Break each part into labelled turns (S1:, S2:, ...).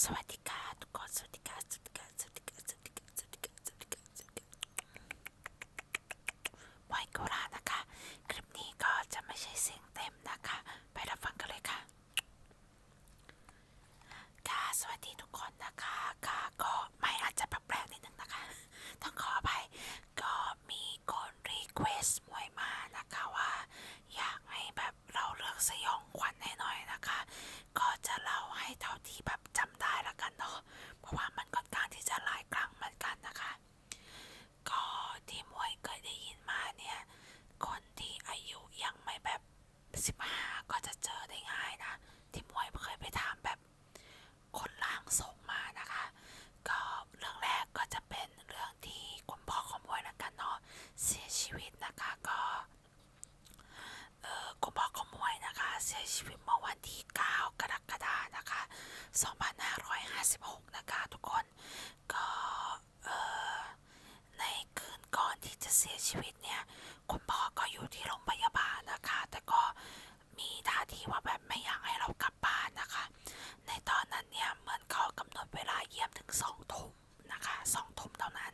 S1: สวัสดีค่ะทุกคนสวัสดีค่ะสวัสดีค่ะสวัสดีค่ะสวัสดีค่ะสวัสดีค่ะสวัสดีค่ะสวัสดีค่ะไวโกรานะคะ คลิปนี้ก็จะไม่ใช่เสียงเต็มนะคะ ไปรับฟังกันเลยค่ะค่ะ สวัสดีทุกคนนะคะ ค่ะก็ไม่อาจจะแปลกๆนิดนึงนะคะต้องขออภัยก็มีคน รีเควสต์มวยมานะคะว่าอยากให้แบบเราเลือกสยองขวัญให้หน่อยนะคะ ก็จะเล่าให้เท่าที่แบบจำได้ละกันเนาะเพราะว่ามันค่อนข้างที่จะหลายครั้งเหมือนกันนะคะ ก็ที่มวยเคยได้ยินมาเนี่ยคนที่อายุยังไม่แบบ15ก็จะเจอได้ง่ายนะที่มวยเคยไปถามแบบคนล่างส่งมานะคะ ก็เรื่องแรกก็จะเป็นเรื่องที่คุณพ่อของมวยละกันเนาะเสียชีวิตนะคะก็เออกุมภามวยนะคะเสียชีวิตเมื่อวันที่ 9กรกฎาคมนะคะ2556 นะคะ ทุกคนก็เออในคืนก่อนที่จะเสียชีวิตเนี่ยคุณพ่อก็อยู่ที่โรงพยาบาลนะคะ แต่ก็มีท่าทีว่าแบบไม่อยากให้เรากลับบ้านนะคะ ในตอนนั้นเนี่ยเหมือนเขากำหนดเวลาเยี่ยมถึงสองทุ่มนะคะสองทุ่มเท่านั้น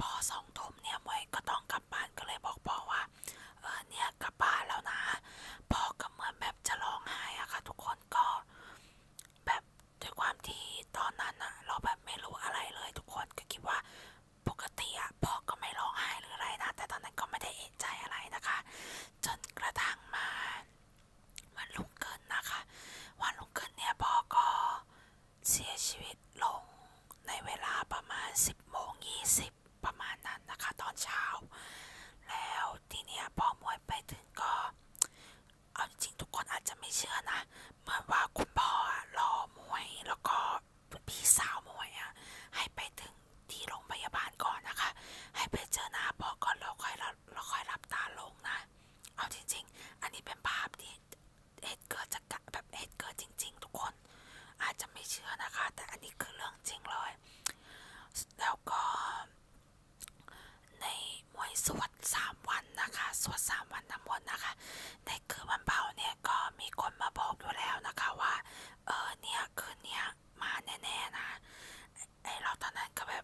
S1: พอสองทุ่มเนี่ยมวยก็ต้องกลับบ้านก็เลยบอกพ่อว่าเออเนี่ยกลับบ้านแล้วนะพ่อก็เหมือนแบบจะร้องไห้อะค่ะทุกคนก็แบบด้วยความที่ตอนนั้นอะเราแบบไม่รู้อะไรเลยทุกคนก็คิดว่าปกติอะพ่อก็ไม่ร้องไห้หรืออะไรนะแต่ตอนนั้นก็ไม่ได้เอะใจอะไรนะคะ จนกระทั่งมาวันลุกเกินนะคะ วันรุ่งขึ้นเนี่ยพ่อก็เสียชีวิตลงในเวลาประมาณ 10 โมง20 ประมาณนั้นนะคะ ตอนเช้า แล้วทีเนี้ยพ่อมวยไปถึงก็ เอาจริงทุกคนอาจจะไม่เชื่อนะเหมือนว่าคุณพ่อรอมวยแล้วก็พี่สาวมวยอะให้ไปถึงที่โรงพยาบาลก่อนนะคะ ให้ไปเจอหน้าพ่อก่อนแล้วค่อยเราค่อยรับตาลงนะ เอาจริงๆ อันนี้เป็นภาพที่เหตุเกิดจากแบบเหตุเกิดจริง ๆทุกคนอาจจะไม่เชื่อนะคะ แต่อันนี้คือเรื่องจริงเลย แล้วก็ในมวยสวดสามวันนะคะสวดสามวันทั้งหมดนะคะในคืนวันเผาเนี่ยก็มีคนมาบอกอยู่แล้วนะคะว่า เออเนี่ยคืนเนี้ยมาแน่ๆนะไอเราตอนนั้นก็แบบ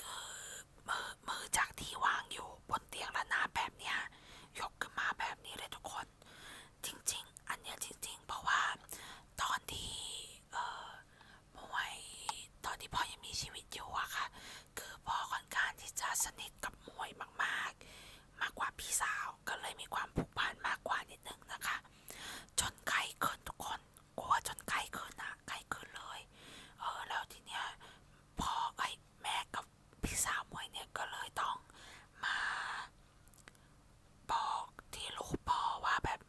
S1: คือมือมือจากที่วางอยู่บนเตียงระนาบแบบเนี้ยยกขึ้นมาแบบนี้เลยทุกคน จริงๆ อันเนี้ยจริงๆ เพราะว่าตอนที่เอ่อมวยตอนที่พ่อยังมีชีวิตอยู่อะค่ะคือพ่อค่อนข้างที่จะสนิทกับมวยมากๆ มากกว่าพี่สาวก็เลยมีความผูกพันมากกว่านิดนึงนะคะ จนใครเกินทุกคนกลัวจนไข้ขึ้นอะไข้ขึ้นเลย เออแล้วทีเนี้ยพอไอ้แม่กับพี่สาวมวยเนี่ยก็เลยต้องมาบอกที่ลูกพ่อว่าแบบ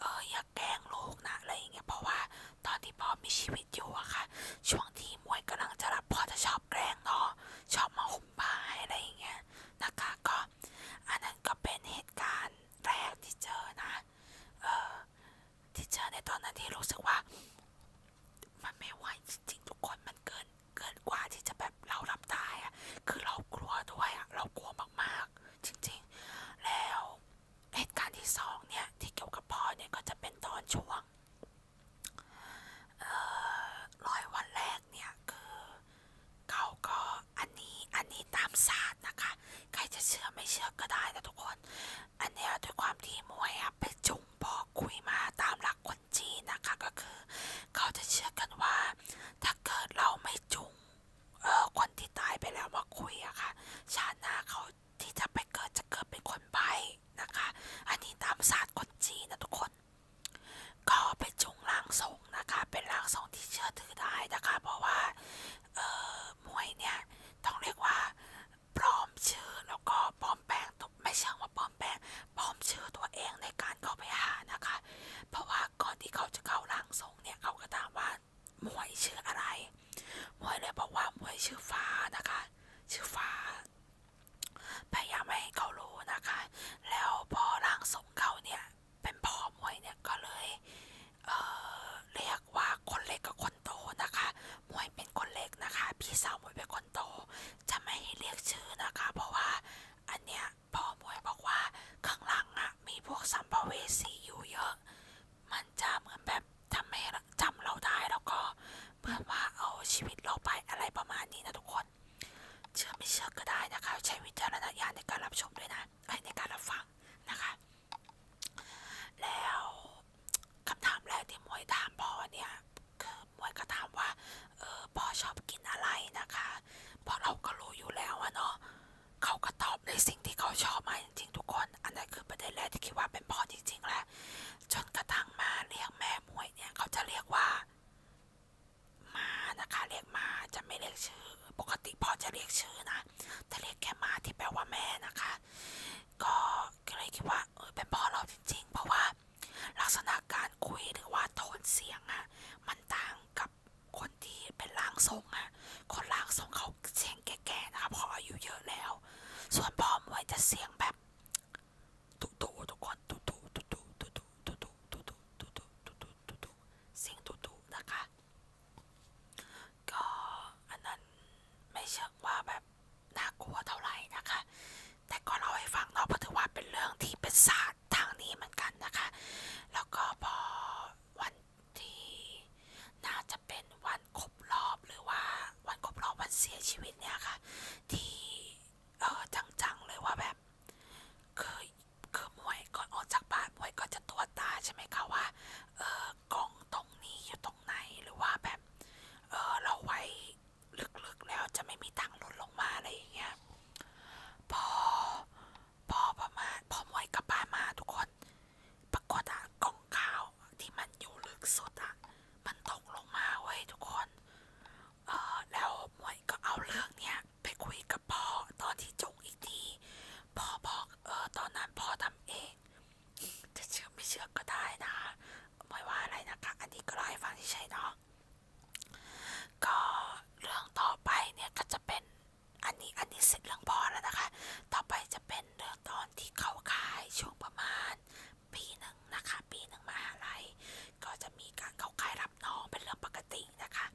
S1: เอออย่าแกล้งลูกนะอะไรอย่างเงี้ยเพราะว่าตอนที่พ่อมีชีวิตอยู่อะค่ะช่วงที่มวยกำลังจะรับพ่อจะชอบแกล้งเนาะชอบมาหุ่มผ้าอะไรอย่างเงี้ยนะคะก็อันนั้นก็เป็นเหตุการณ์แรกที่เจอนะเออที่เจอในตอนนั้นที่รู้สึกว่า มันไม่ไหวจริงๆทุกคนมันเกินเกินกว่าที่จะแบบเรารับได้อะคือเรากลัวด้วยอะเรากลัวมากๆ จริงๆ แล้วเหตุการณ์ที่สองเนี่ย ที่เกี่ยวกับพ่อเนี่ยก็จะเป็นตอนช่วงร้อยวันแรกเนี่ยคือเขาก็อันนี้อันนี้ตามศาสตร์นะคะใครจะเชื่อไม่เชื่อก็ได้นะทุกคน อันนี้ด้วยความที่มวยไปจุงบอกคุยมาตามหลักคนจีนนะคะ ก็คือ เขาจะเชื่อกันว่า ถ้าเกิดเราไม่จุงเออคนที่ตายไปแล้วมาคุยอะค่ะ ชาติหน้าเขาที่จะไปเกิดจะเกิดเป็นคนใบนะคะ อันนี้ตามศาสตร์คนจีนนะทุกคน ก็ไปจุงล้างทรงนะคะ เป็นล้างทรงที่เชื่อถือได้นะคะ เพราะว่าเออมวยเนี่ยต้องเรียกว่าปลอมชื่อแล้วก็ปลอมแปลงตัวไม่เชิงว่าปลอมแปลงปลอมชื่อตัวเองในการเข้าไปหานะคะ เพราะว่าก่อนที่เขาจะเข้าร่างทรงเนี่ยเขาก็ถามว่ามวยชื่ออะไร มวยเลยบอกว่ามวยชื่อฟ้านะคะ ชื่อฟ้าพยายามให้เขารู้นะคะ แล้วพอร่างทรงเขาเนี่ยเป็นพ่อมวยเนี่ยก็เลยเรียกว่าคนเล็กกับคนโตนะคะมวยเป็นคนเล็กนะคะ พี่สาวมวยเป็นคนโต จะไม่เรียกชื่อนะคะ เพราะว่าอันเนี้ยพ่อมวยบอกว่าข้างหลังอะมีพวกสัมภเวสีอยู่เยอะ มันจะเหมือนแบบทำให้จำเราได้แล้วก็เพื่อว่าเอาชีวิตเราไปอะไรประมาณนี้นะทุกคน เชื่อไม่เชื่อก็ได้นะคะ ใช้วิจารณญาณในการรับชมด้วยนะในการรับฟังนะคะแล้วคำถามแรกที่มวยถามพ่อเนี่ยคือมวยก็ถามว่าเออพ่อชอบกินอะไรนะคะเพราะเราก็รู้อยู่แล้วอะเนาะเขาก็ตอบในสิ่งที่เขาชอบมาจริงๆทุกคน อันนั้นคือประเด็นแรกที่คิดว่าเป็นพ่อจริงๆแหละจนกระทั่งมาเรียกแม่มวยเนี่ยเขาจะเรียกว่ามานะคะ เรียกมาจะไม่เรียกชื่อ ปกติพ่อจะเรียกชื่อนะแต่รียกแกมาที่แปลว่าแม่นะคะ ก็เลยคิดว่าเออเป็นพ่อเราจริงๆเพราะว่า ลักษณะการคุยหรือว่าโทนเสียงอะมันต่างกับคนที่เป็นร่างทรงอะคนร่างทรงเขาเสียงแก่ๆนะคะพออายุเยอะแล้ว ส่วนพ่อมวยจะเสียงแบบตุตุทุกคนตุตุตุตุตุตุตุตุตุตุตุตุตุเสียงตุตุนะคะก็อันนั้นไม่เชื่อว่าแบบน่ากลัวเท่าไหร่นะคะ แต่ก็เราให้ฟังเนาะเพราะถือว่าเป็นเรื่องที่เป็นศาสตร์ทางนี้เหมือนกันนะคะ แล้วก็พอวันที่น่าจะเป็นวันครบรอบหรือว่า วันครบรอบวันเสียชีวิตเนี่ยค่ะที่เออจังๆเลยว่าแบบคือคือมวยก่อนออกจากบ้านมวยก็จะตรวจตาใช่ไหมคะว่าเออกล้องตรงนี้อยู่ตรงไหนหรือว่าแบบเออเราไว้ลึกๆแล้วจะไม่มีทางหล่นลงมาอะไรอย่างเงี้ยพอพอประมาณพอมวยกลับบ้านมาทุกคน ปรากฏอะกล่องข้าวที่มันอยู่ลึกสุดอะมันตกลงมาเว้ยทุกคนเออแล้วมวยก็เอาเรื่องเนี้ยไปคุยกับพ่อตอนที่จงอีกทีพ่อบอกเออตอนนั้นพ่อทำเองจะเชื่อไม่เชื่อก็ได้นะไม่ว่าอะไรนะคะ อันนี้ก็เลอาให้ฟังที่ใช่เนาะก็เรื่องต่อไปเนี่ยก็จะเป็นอันนี้อันนี้เสร็จเรื่องพอแล้วนะคะ ต่อไปจะเป็นเรื่องตอนที่เขาขายช่วงประมาณ ปีหนึ่งนะคะ ปีหนึ่งมาอะไรก็จะมีการเขาขายรับน้องเป็นเรื่องปกตินะคะ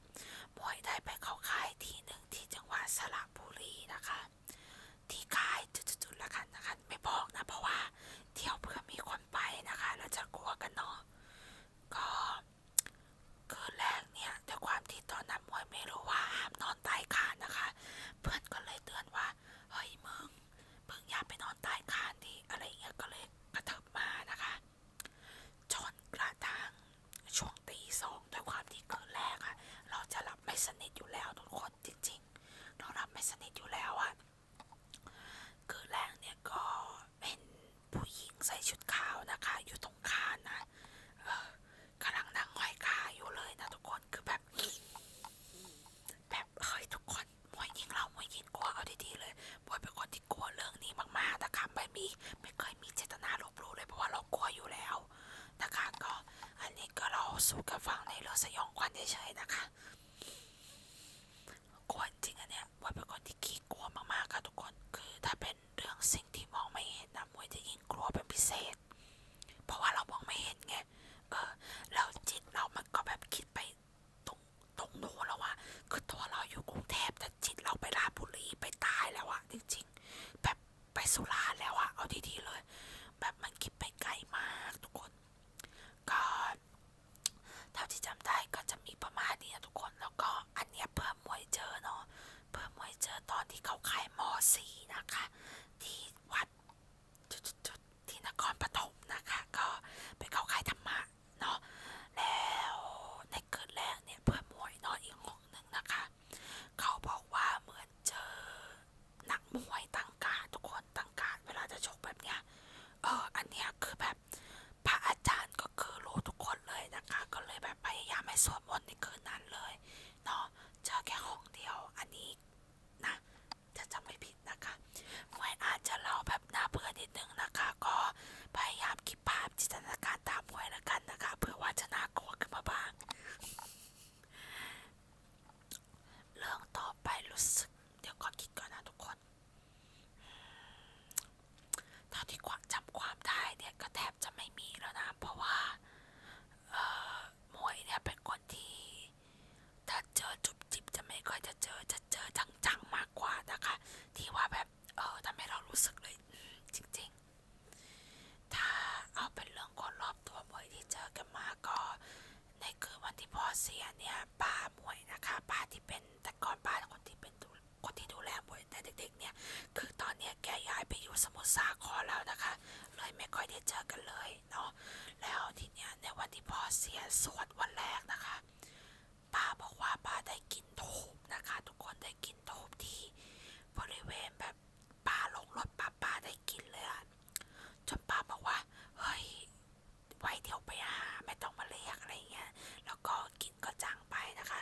S1: มวยได้ไปเขาขายที่หนึ่งที่จังหวัดสระบุรีนะคะที่ขายจุดๆๆละกันนะคะไม่บอกนะเพราะว่าเที่ยวเพื่อมีคนไปนะคะ เราจะกลัวกันเนาะก็คืนแรกเนี่ยแต่ความที่ตอนนั้นมวยไม่รู้ว่าห้ามนอนใต้คานนะคะ เพื่อนก็เลยเตือนว่า เฮ้ยมึงมึงอย่าไปนอนใต้คานดิอะไรเงี้ยก็เลยกระเถิบมานะคะจนกระทั่งช่วงตีสองด้วยความที่คืนแรกอะเราจะหลับไม่สนิทอยู่แล้วทุกคนจริง ๆ เราหลับไม่สนิทอยู่แล้วอะคืนแรกเนี่ยก็เป็นผู้หญิงใส่ชุดขาวนะคะอยู่ตรงคานนะกำลังนั่งห้อยขาอยู่เลยนะทุกคน คือแบบ แบบเฮยทุกคนมวยยิงเรามวยยิงกลัวเอาดีๆเลยมวยเป็นคนที่กลัวเรื่องนี้มากๆนะคะไม่มีไม่เคยมีเจตนาลบลูเลยเพราะว่าเรากลัวอยู่แล้วนะคะก็อันนี้ก็เราสู่กับฟังในรถสยองควันเฉยๆนะคะกลัวจริงอันเนี้ยว่าเป็นคนที่ขี้กลัวมากๆค่ะทุกคนคือถ้าเป็นเรื่องสิ่งที่มองไม่เห็นนะมวยจะยิ่งกลัวเป็นพิเศษ เพราะว่าเรามองไม่เห็นไงเออแล้จิตเรามันก็แบบคิดไปตรงตรงโน้นแล้วอะคือตัวเราอยู่กรุงเทพแต่จิตเราไปลาบุรีไปตายแล้วอะจริงๆแบบไปสุราแล้วอะเอาดีๆเลยแบบมันคิดไปไกลมากทุกคนก็เท่าที่จำได้ก็จะมีประมาณนี้ทุกคนแล้วก็อันเนี้ยเพิ่มมวยเจอเนาะเพิ่มมวยเจอตอนที่เขาขายมอสีนะคะ ที่วัดจุดๆที่นครปฐมนะคะ ก็เป็นเขาขายธรรมะเนาะแล้วในคืนแรกเนี่ยเพิ่มมวยนอนอีกห้องหนึ่งนะคะเขาบอกว่าเหมือนเจอนักมวยตั้งการทุกคนตั้งการเวลาจะชกแบบเนี้ยเอออันเนี้ยคือแบบพระอาจารย์ก็คือรู้ทุกคนเลยนะคะ ก็เลยแบบพยายามไม่สวดมนต์ในคืนนั้นเลยเนาะเจอแค่ของเดียวอันนี้นะจะจำไม่ผิดนะคะมวยอาจจะเล่าแบบน่าเบื่อนิดนึงนะคะ ก็พยายามคิดภาพจินตนาการตามมวยแล้วกันนะคะ เพื่อว่าจะน่ากลัวขึ้นมาบ้างเรื่องต่อไปรู้สึก เดี๋ยวก่อนคิดก่อนนะทุกคนเท่าที่ความจำความได้เนี่ยก็แทบจะไม่มีแล้วนะ เพราะว่าหมวยเนี่ยเป็นคนที่ถ้าเจอจุบจิบจะไม่ค่อยจะเจอจะเจอจังๆมากกว่านะคะ ที่ว่าแบบเออทำให้เรารู้สึกเลยจริง ๆถ้าเอาเป็นเรื่องคนรอบตัวบมวยที่เจอกันมาก็ ในคือวันที่พ่อเสียเนี่ยป้าบมวยนะคะ ป้าที่เป็นแต่ก่อนป้าคนที่เป็นคนที่ดูแลบมวยแต่เด็กๆเนี่ยคือตอนเนี้ยแกย้ายไปอยู่สมุทรสาครแล้วนะคะเลยไม่ค่อยได้เจอกันเลยเนาะแล้วทีเนี้ย ในวันที่พ่อเสียสวดวันแรกนะคะ ป้าบอกว่าป้าได้กินทูบนะคะ ทุกคนได้กินทูบที่บริเวณแบบป้าลงรถป้าป้าได้ได้กินเลยอะจนป้าบอกว่าเฮ้ยไว้เดี๋ยวไปหาไม่ต้องมาเรียกอะไรเงี้ยแล้วก็กินก็จางไปนะคะ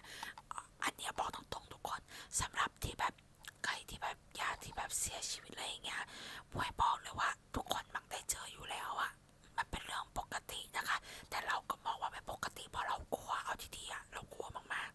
S1: อันเนี้ยบอกตรงๆทุกคนสำหรับที่แบบใครที่แบบญาติที่แบบเสียชีวิตอะไรอย่างเงี้ยบวยบอกเลยว่าทุกคนมักได้เจออยู่แล้วอะมันเป็นเรื่องปกตินะคะ แต่เราก็มองว่าไม่ปกติเพราะเรากลัวเอาทีเดียวเรากลัวมาก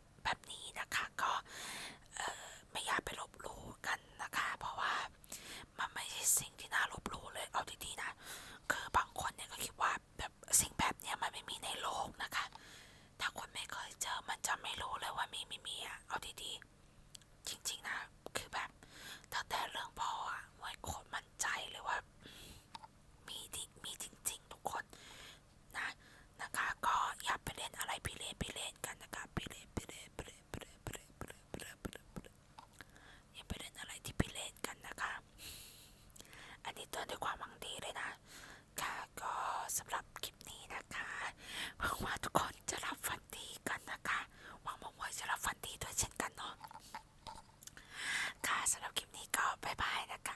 S1: พแบบนี้นะคะก็ไม่อยากไปลบหลู่กันนะคะเพราะว่ามันไม่ใช่สิ่งที่น่าลบหลู่เลยเอาดีๆนะคือบางคนเนี่ยก็คิดว่าแบบสิ่งแบบเนี้ยมันไม่มีในโลกนะคะ ถ้าคนไม่เคยเจอมันจะไม่รู้เลยว่ามีไม่มีอะเอาดีๆจริงๆนะคือแบบตั้งแต่เรื่องพ่ออะมวยโคตรมั่นใจเลยว่ามีมีจริง ๆ ทุกคนนะ นะคะก็อย่าไปเล่นอะไรพิเรนพิเรนกันนะคะพิเรนพิเรนพิเรนพิเรนพิเรนพิเรนพิเรนพิเรนพิเรนอย่าไปเล่นอะไรที่พิเรนกันนะคะอันนี้เตือนด้วยความหวังดีเลยนะ ค่ะก็สำหรับคลิปนี้นะคะหวังว่าทุกคนจะรับฟันดีกันนะคะหวังว่าจะรับฟันดีด้วยเช่นกันเนาะค่ะสำหรับคลิปนี้ก็บายบายนะคะ